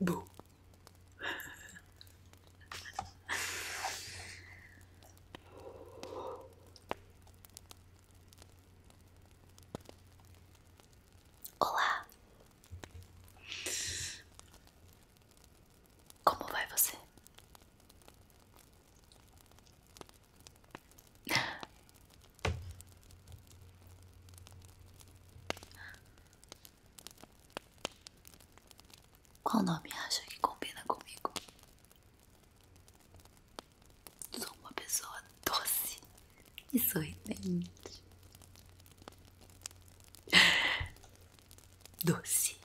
Bu. Olá. Como vai você? Qual nome acha que combina comigo? Sou uma pessoa doce e sorridente. Doce,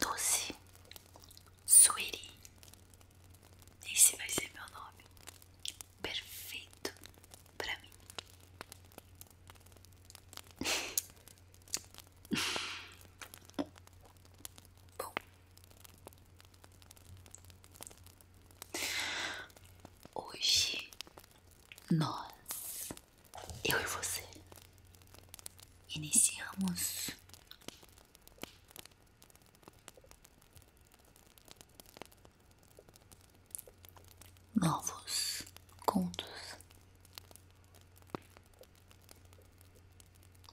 doce, sweetie. Esse vai ser meu nome perfeito pra mim. Bom, hoje nós, eu e você, iniciamos novos contos.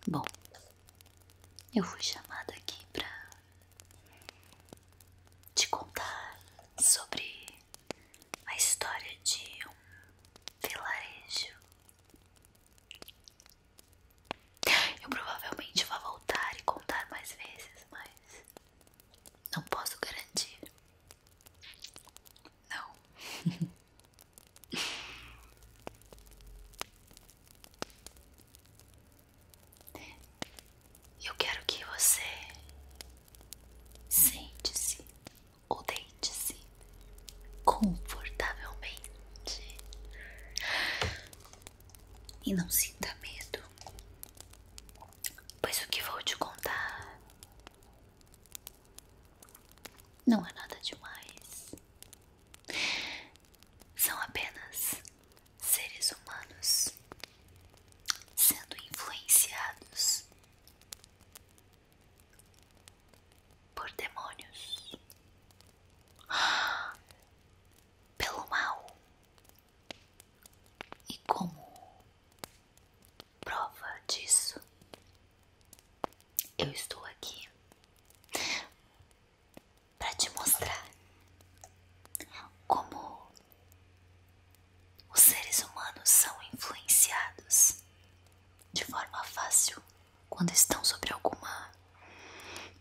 Bom, eu fui chamada aqui para te contar sobre a história de um vilarejo. Eu provavelmente vou voltar e contar mais vezes, mas não posso garantir. Não. Eu quero que você sente-se ou deite-se confortavelmente e não sinta medo. Pois o que vou te contar não é nada demais. São apenas seres humanos sendo influenciados por demônios, pelo mal, e como prova disso, eu estou aqui para te mostrar como os seres humanos são influenciados de forma fácil quando estão sob alguma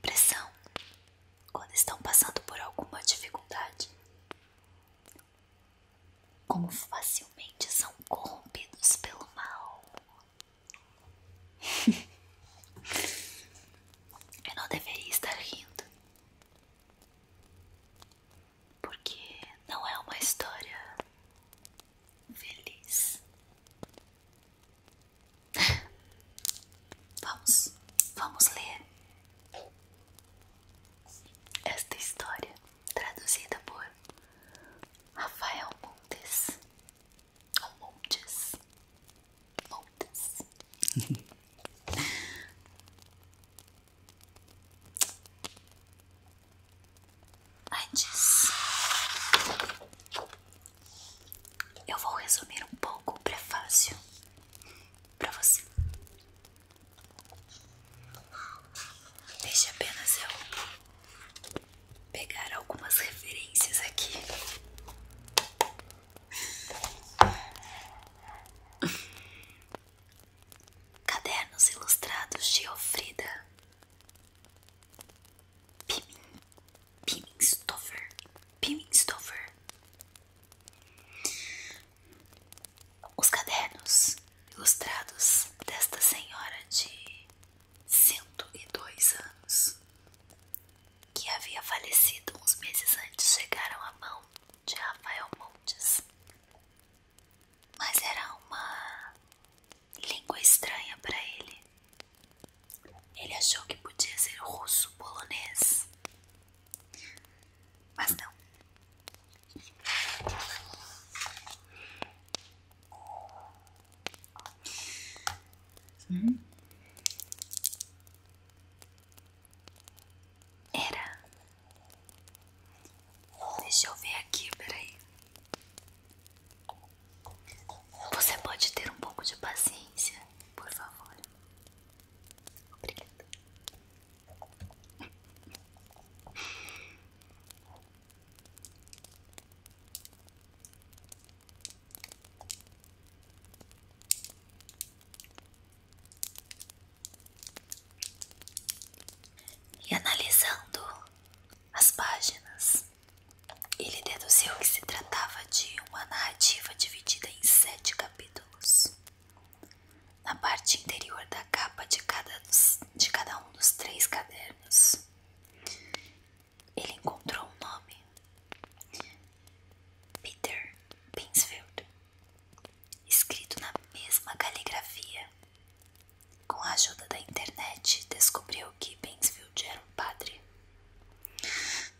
pressão, quando estão passando por alguma dificuldade como facilmente são corrompidos pelo mal. Eu não deveria estar rindo, porque não é uma história feliz. Vamos, vamos ler esta história, traduzida por Rafael Montes, ou Montes, Montes. Antes, eu vou resumir um pouco o prefácio para você. Deixe apenas eu pegar algumas referências aqui. Cadernos ilustrados de Ofrida Pimin Pim Piminstover os cadernos ilustrados desta senhora de 102 anos, que havia falecido uns meses antes, chegaram à mão de Rafael Montes. Mas era uma língua estranha para ele. Ele achou que podia ser russo, polonês, mas não. Era. Deixa eu ver aqui, peraí. Você pode ter um pouco de paciência, por favor. Obrigada. E analisando as páginas, ele deduziu que se tratava de uma narrativa dividida em sete capítulos na parte interior da capa de cada, um dos três cadernos. Ele encontrou um nome: Peter Pinsfield, escrito na mesma caligrafia. Com a ajuda da internet, descobriu que Pinsfield era um padre,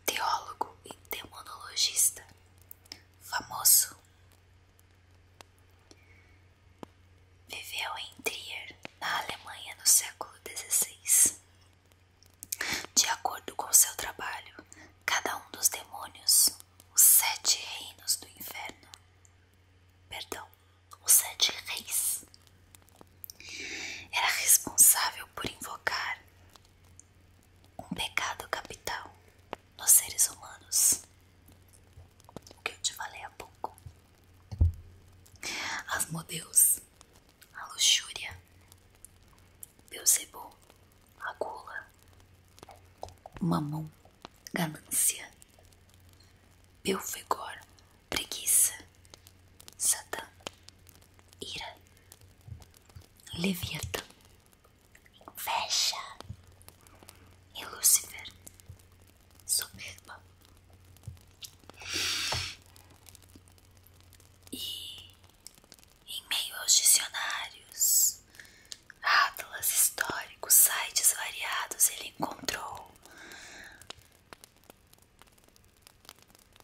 teólogo e demonologista famoso. Viveu em Trier, na Alemanha, no século XVI. De acordo com seu trabalho, cada um dos demônios, os sete reinos do inferno, perdão, os sete reis, era responsável por invocar um pecado capital nos seres humanos. O que eu te falei há pouco. Asmodeus, a luxúria, Beuzebu, a gula, mamão, ganância, Belfegor, preguiça, Satã, ira, Leviatã, Fecha. E Lúcifer, soberba. E em meio aos dicionários, atlas históricos, sites variados, ele encontrou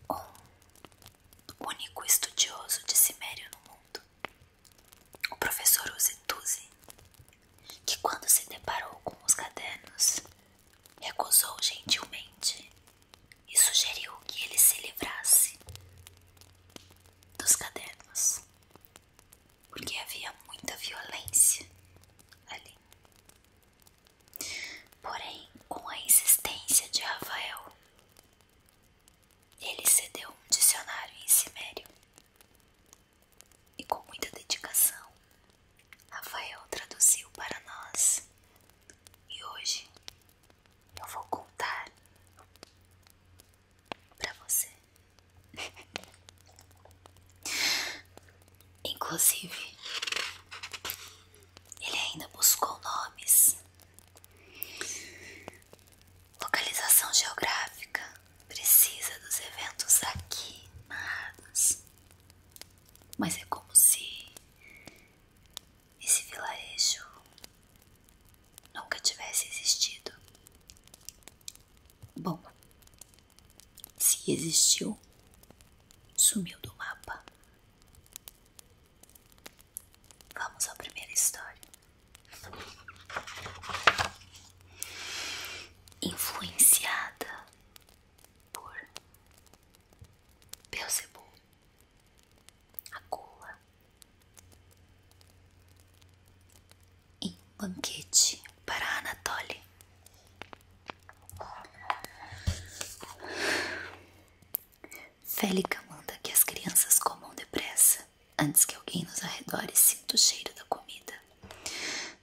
um único estudioso de Cimério no mundo o professor Uzituzi, que quando se deparou com os cadernos, recusou gentilmente e sugeriu que ele se livrasse dos cadernos, porque havia muita violência ali. Porém, com a insistência de Rafael, ele cedeu um dicionário em Cimério. E com muita dedicação, Rafael traduziu para nós. E hoje eu vou contar para você. Inclusive, ele ainda buscou nomes Localização geográfica precisa dos eventos aqui narrados, mas é como se esse vilarejo nunca tivesse existido. Bom, se existiu, sumiu do mapa. Vamos à primeira história influenciada por Belzebu, a gula em banquete para Anatoly. Félica manda que as crianças comam depressa antes que alguém nos arredores sinta o cheiro da comida.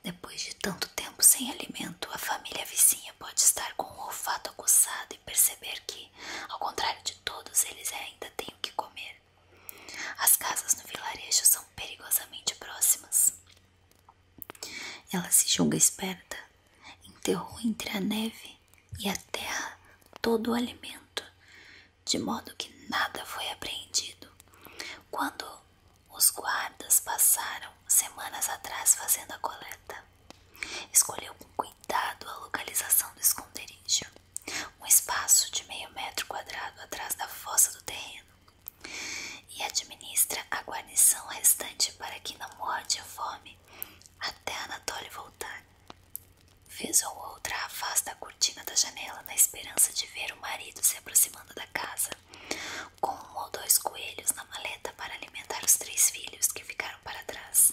Depois de tanto tempo sem alimento, a família vizinha pode estar com o olfato aguçado e perceber que, ao contrário de todos, eles ainda tem o que comer. As casas no vilarejo são perigosamente próximas. Ela se julga esperta, enterrou entre a neve e a terra todo o alimento de modo que nada foi apreendido. Quando os guardas passaram semanas atrás fazendo a coleta, escolheu com cuidado a localização do esconderijo, um espaço de meio metro quadrado atrás da fossa do terreno, e administra a guarnição restante para que não morde a fome até Anatoly voltar. Fez ou outra afasta a cortina da janela na esperança de ver o marido se aproximando da casa, com um ou dois coelhos na maleta para alimentar os três filhos que ficaram para trás.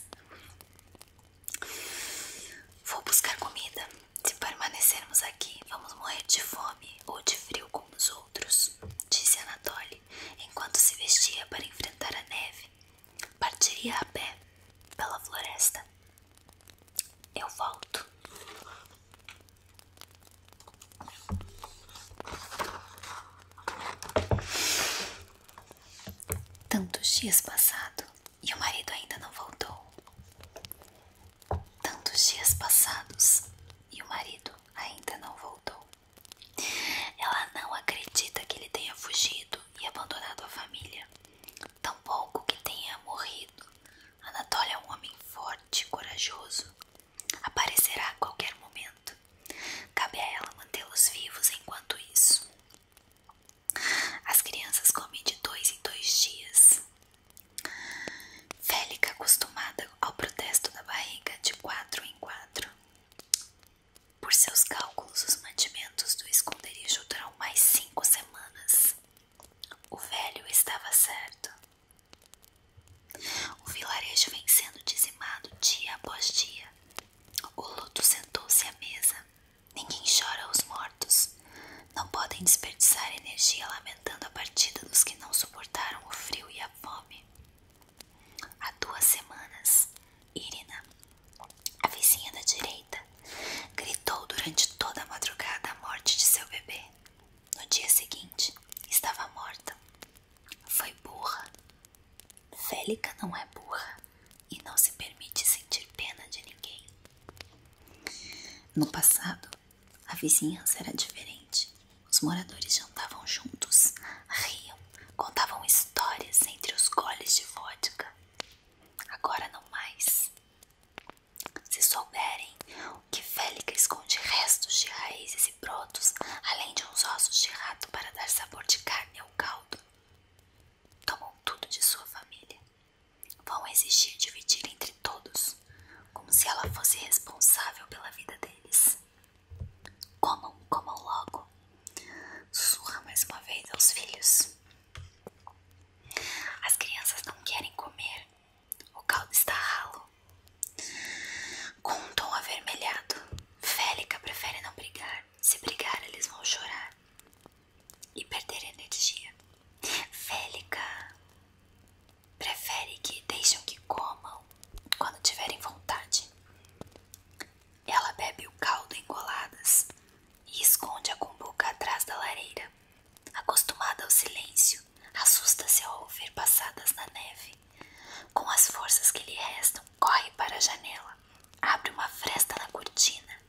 Vou buscar comida. Se permanecermos aqui, vamos morrer de fome ou de frio como os outros, disse Anatoly, enquanto se vestia para enfrentar a neve partiria a pé pela floresta. Eu volto. Tantos dias passados e o marido ainda não voltou. Tantos dias passados e o marido ainda não voltou. Ela não acredita que ele tenha fugido e abandonado a família, tampouco que tenha morrido. Anatoly é um homem forte e corajoso. Aparecerá a qualquer momento. Cabe a ela mantê-los vivos enquanto isso. As crianças comem de dois em dois dias. Félica, acostumada ao protesto da barriga de quatro em quatro. Por seus cálculos, os mantimentos do esconderijo duram mais cinco cinco semanas. O velho estava certo. O vilarejo vem sendo dizimado dia após dia. O luto sentou-se à mesa. Ninguém chora os mortos. Não podem desperdiçar energia lamentando a partida dos que não suportaram o frio e a fome. Há duas semanas, Irina, a vizinha da direita, gritou durante toda a madrugada a morte de seu bebê. No dia seguinte, estava morta. Foi burra. Félica não é burra e não se permite sentir pena de ninguém. No passado, a vizinhança era diferente. Os moradores jantavam juntos, riam, contavam histórias entre os goles de vodka Agora não mais. Se souberem que Félica esconde restos de raízes e brotos, além de uns ossos de rato para dar sabor de carne ao caldo, tomam tudo de sua família. Vão exigir dividir entre todos, como se ela fosse responsável pela vida deles. Comam, comam logo. Sussurra mais uma vez aos filhos. As crianças não querem comer. O caldo está ralo. Com um tom avermelhado, Félica prefere não brigar. Se brigar, eles vão chorar e perder energia. Félica prefere que deixem que comam quando tiverem vontade. Ela bebe o caldo em goladas e esconde a cumbuca atrás da lareira. Acostumada ao silêncio, assusta-se ao ouvir passadas na neve. Com as forças que lhe restam, corre para a janela, abre uma fresta na cortina,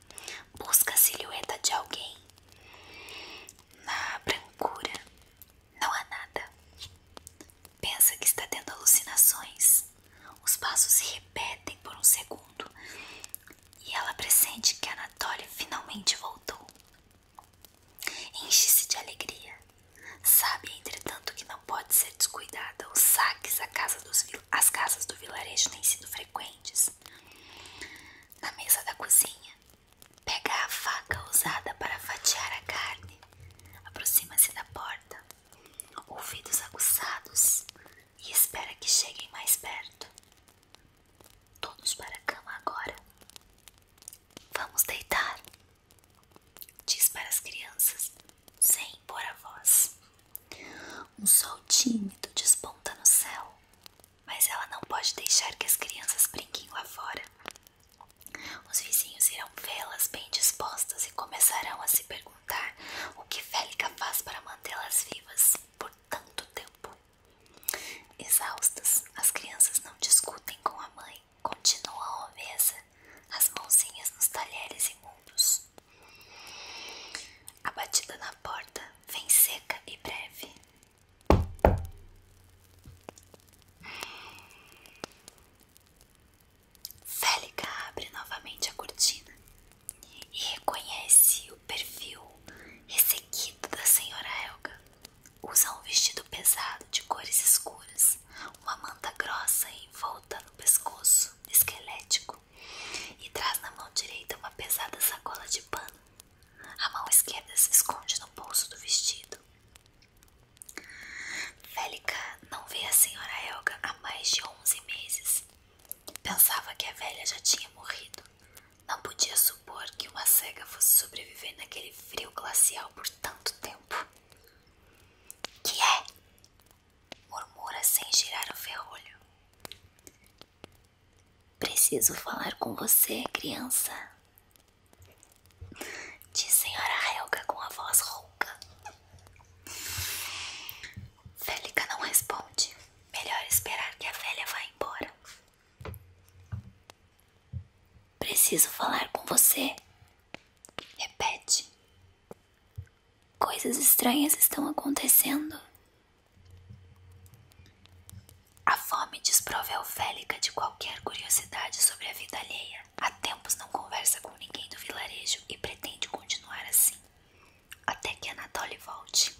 busca a silhueta de alguém. Na brancura, não há nada. Pensa que está tendo alucinações. Os passos se repetem por um segundo e ela pressente que a Natália finalmente voltou. Enche-se de alegria. Sabe, entretanto, que não pode ser descuidada. Os saques às casas do vilarejo têm sido frequentes. Na mesa da cozinha, pega a faca usada para fatiar a carne. Aproxima-se da porta. Ouvidos aguçados, e espera que cheguem mais perto. Todos para a cama agora. Vamos deitar, diz para as crianças, sem impor a voz. Um sol tímido desponta no céu, mas ela não pode deixar que as crianças brinquem lá fora. Os vizinhos irão vê-las bem dispostas e começarão a se perguntar o que Félica faz para mantê-las vivas por tanto tempo. Exaustas, as crianças não discutem com a mãe, continuam à mesa, as mãozinhas nos talheres imundos. A batida na porta vem seca e breve. Félica abre novamente a cortina e reconhece o perfil ressequido da senhora Helga. Usa um vestido pesado de cores escuras, uma manta grossa envolta no pescoço esquelético e traz na mão direita uma pesada sacola de pano. A mão esquerda se esconde no bolso do vestido. Félica não vê a senhora Helga há mais de 11 meses Pensava que a velha já tinha morrido. Não podia supor que uma cega fosse sobreviver naquele frio glacial por tanto tempo. Que é? Murmura sem girar o ferrolho. Preciso falar com você, criança. Diz senhora Helga com a voz rouca. Félica não responde. Melhor esperar que a velha vá embora. Preciso falar com você. Repete. Coisas estranhas estão acontecendo. A fome desproveu Félica de qualquer curiosidade sobre a vida alheia. Há tempos não conversa com ninguém do vilarejo e pretende continuar assim até que Anatoly volte.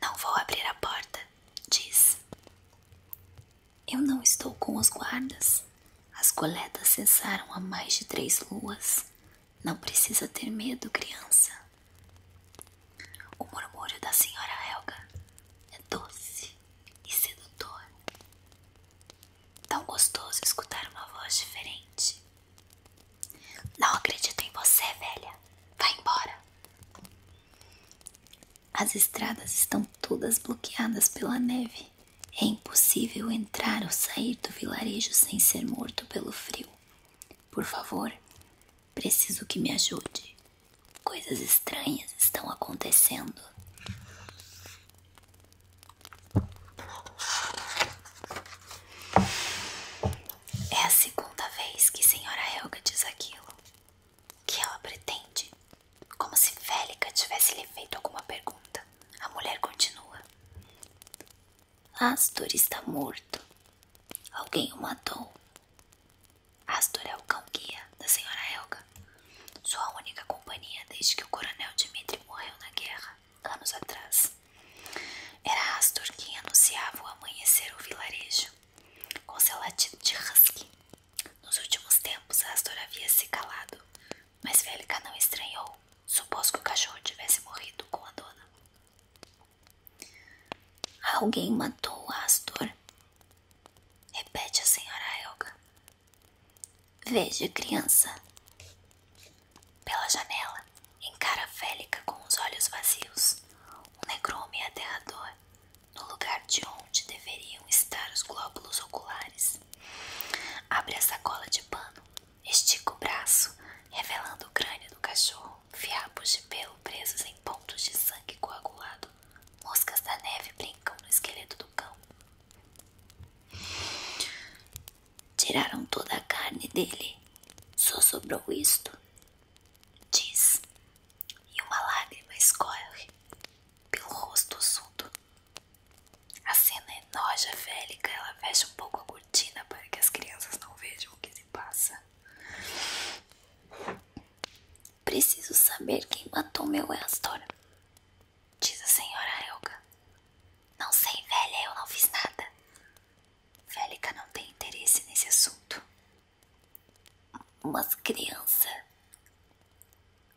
Não vou abrir a porta, diz. Eu não estou com os guardas. As coletas cessaram há mais de três luas. Não precisa ter medo, criança. O murmúrio da senhora Helga é doce e sedutor. Tão gostoso escutar uma voz diferente, não acredito em você, velha. Vai embora. As estradas estão todas bloqueadas pela neve. É impossível entrar ou sair do vilarejo sem ser morto pelo frio. Por favor, preciso que me ajude. Coisas estranhas estão acontecendo. É a segunda vez que a senhora Helga diz aquilo. O Que ela pretende. Como se Félica tivesse lhe feito alguma pergunta. A mulher continua. Astor está morto. Alguém o matou. Astor é o cão guia da senhora Helga. Sua única companhia desde que o coronel Dimitri morreu na guerra anos atrás. Era Astor quem anunciava o amanhecer ao vilarejo, com seu latido de husky. Nos últimos tempos, Astor havia se calado, mas Vélica não estranhou. Supôs que o cachorro tivesse morrido com a dona. Alguém matou Astor. Repete a senhora Helga. Veja, criança. Pela janela, encara Félica com os olhos vazios, um negrume aterrador, no lugar de onde deveriam estar os glóbulos oculares. Abre a sacola de pano, estica o braço, revelando o crânio do cachorro, fiapos de pelo presos em pontos de sangue coagulado. Moscas da neve brincam no esqueleto do cão. Tiraram toda a carne dele. Só sobrou isto. Diz. E uma lágrima escorre pelo rosto assunto. A cena é enoja félica. Ela fecha um pouco a cortina para que as crianças não vejam o que se passa. Preciso saber quem matou meu Astor. Diz a senhora elga Não sei, velha, eu não fiz nada. Félica não tem interesse nesse assunto. Mas, criança,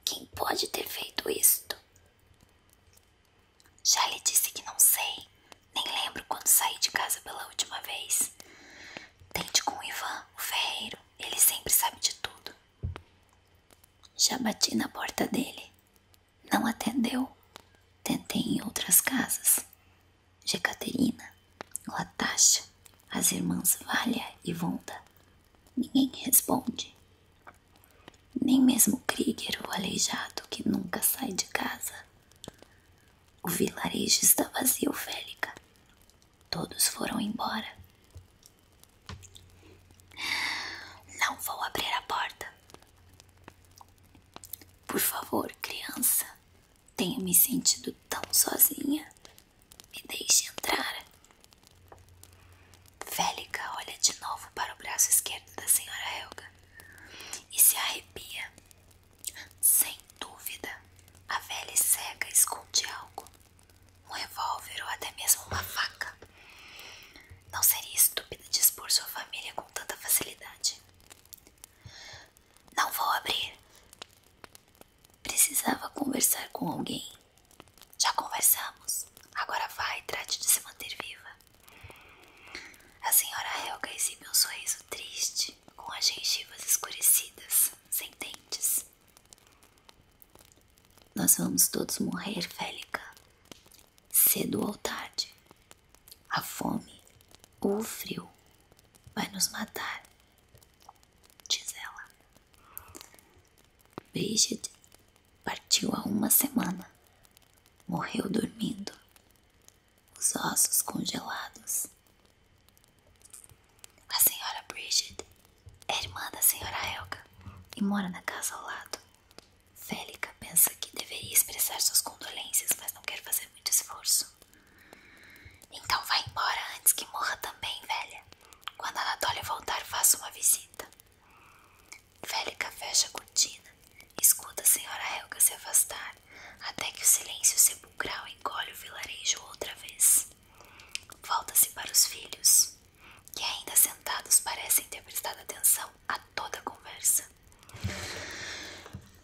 quem pode ter feito isto? Já lhe disse que não sei, nem lembro quando saí de casa pela última vez. Tente com o Ivan, o ferreiro, ele sempre sabe de tudo. Já bati na porta dele, não atendeu. Tentei em outras casas. Jecaterina, Latasha, as irmãs Valha e Vonda. Ninguém responde. Nem mesmo Krieger, o aleijado que nunca sai de casa. O vilarejo está vazio, Félica. Todos foram embora. Não vou abrir a porta. Por favor, criança, tenho me sentido tão sozinha. Me deixe entrar. Vélica olha de novo para o braço esquerdo da senhora Helga e se arrepia. Sem dúvida, a velha cega esconde algo. Um revólver ou até mesmo uma faca. Não seria estúpida de expor sua família com tanta facilidade. Não vou abrir. Precisava conversar com alguém. Já conversamos. Agora vai e trate de se manter viva. A senhora Helga exibe um sorriso triste, com as gengivas escurecidas, sem dentes. Nós vamos todos morrer, Félica cedo ou tarde. A fome ou o frio vai nos matar, diz ela. Bridget partiu há uma semana, morreu dormindo, os ossos congelados. A senhora Bridget é irmã da senhora Helga e mora na casa ao lado. Félica pensa que deveria expressar suas condolências, mas não quer fazer muito esforço. Então vá embora antes que morra também, velha. Quando a Anatolia voltar, faça uma visita. Félica fecha a cortina, escuta a senhora Helga se afastar, até que o silêncio sepulcral engole o vilarejo outra vez. Volta-se para os filhos, que ainda sentados parecem ter prestado atenção a toda conversa.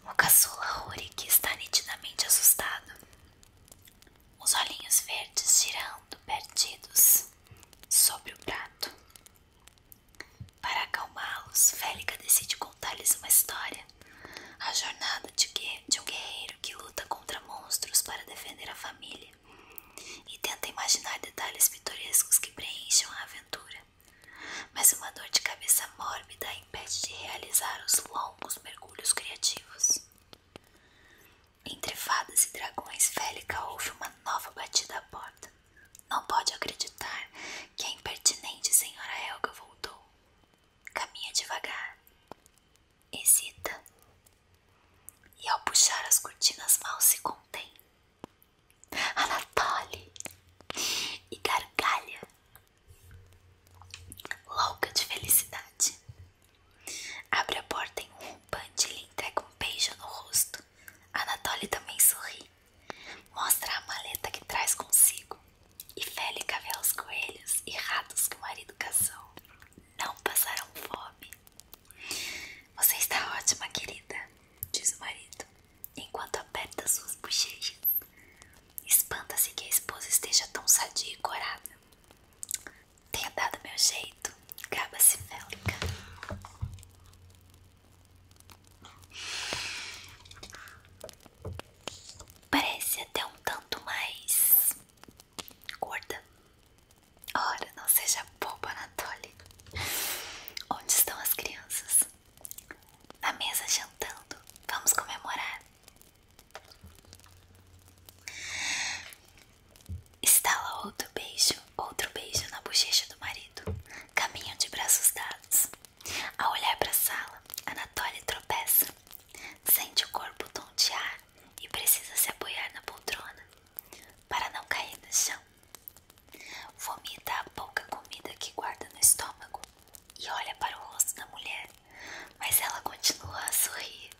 O caçula Rurik está nitidamente assustado. Os olhinhos verdes girando, perdidos, sobre o prato. Para acalmá-los, Félica decide contar-lhes uma história. A jornada de um guerreiro que luta contra monstros para defender a família e tenta imaginar detalhes pitorescos que preencham a aventura mas uma dor de cabeça mórbida a impede de realizar os longos mergulhos criativos. Entre fadas e dragões, Félica ouve uma nova batida à porta. Não pode acreditar que a impertinente senhora Helga voltou. Caminha devagar. Hesita. E ao puxar as cortinas mal se contém. Anatole e gargalha, louca de felicidade. Abre a porta em um rompante e entrega um beijo no rosto. Anatole também sorri, mostra a maleta que traz consigo e Félica vê os coelhos e ratos que o marido caçou. Não passarão fome. Você está ótima, querida, diz o marido enquanto aperta suas bochechas. Espanta-se que a esposa esteja tão sadia e corada. Tenha dado meu jeito, gaba-se Félica. Parece até um tanto mais gorda. Ora, não seja boba, Natália. Onde estão as crianças? na mesa jantando. Vamos comemorar. Estala outro beijo, outro beijo na bochecha do marido. Caminham de braços dados. Ao olhar para a sala, Anatoly tropeça. Sente o corpo tontear e precisa se apoiar na poltrona para não cair no chão. Vomita a pouca comida que guarda no estômago e olha para o rosto da mulher, mas ela continua a sorrir.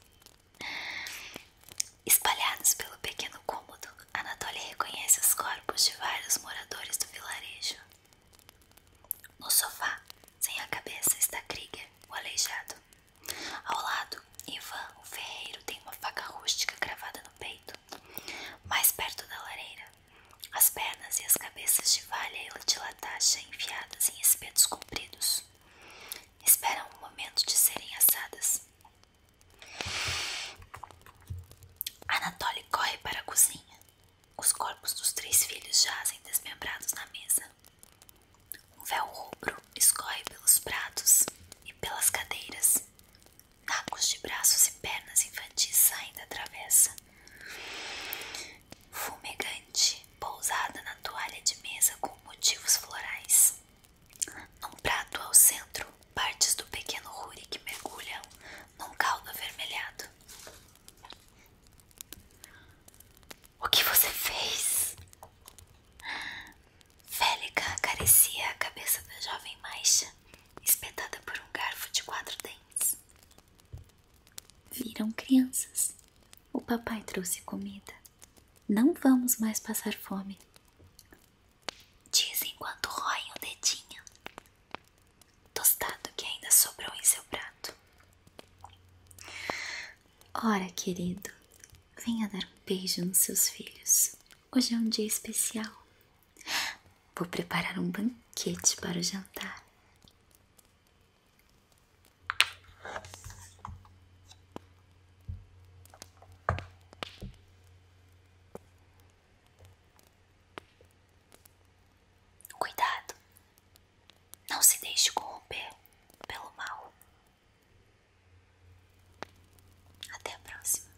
Espalhados pelo pequeno cômodo, Anatoly reconhece os corpos de vários moradores do vilarejo. No sofá, sem a cabeça, está Krieger, o aleijado. Ao lado, Ivan, o ferreiro, tem uma faca rústica cravada no peito. Mais perto da lareira, as pernas e as cabeças de valha e de latacha enfiadas em espetos compridos. Esperam o momento de serem assadas. Anatoly corre para a cozinha. Os corpos dos três filhos jazem desmembrados na mesa. Um véu rubro escorre pelos pratos e pelas cadeiras. Nacos de braços e pernas infantis saem da travessa. Fumegante, pousada na toalha de mesa com motivos florais. Num prato ao centro, partes do pequeno Ruri que mergulham num caldo avermelhado. O que você fez? Félica acaricia a cabeça da jovem Maixa, espetada por um garfo de quatro dentes. Viram, crianças? O papai trouxe comida. Não vamos mais passar fome. Diz enquanto roem o dedinho. Tostado que ainda sobrou em seu prato. Ora, querido, venha dar um beijo nos seus filhos. Hoje é um dia especial. Vou preparar um banquete para o jantar. Cuidado, não se deixe corromper pelo mal. Até a próxima.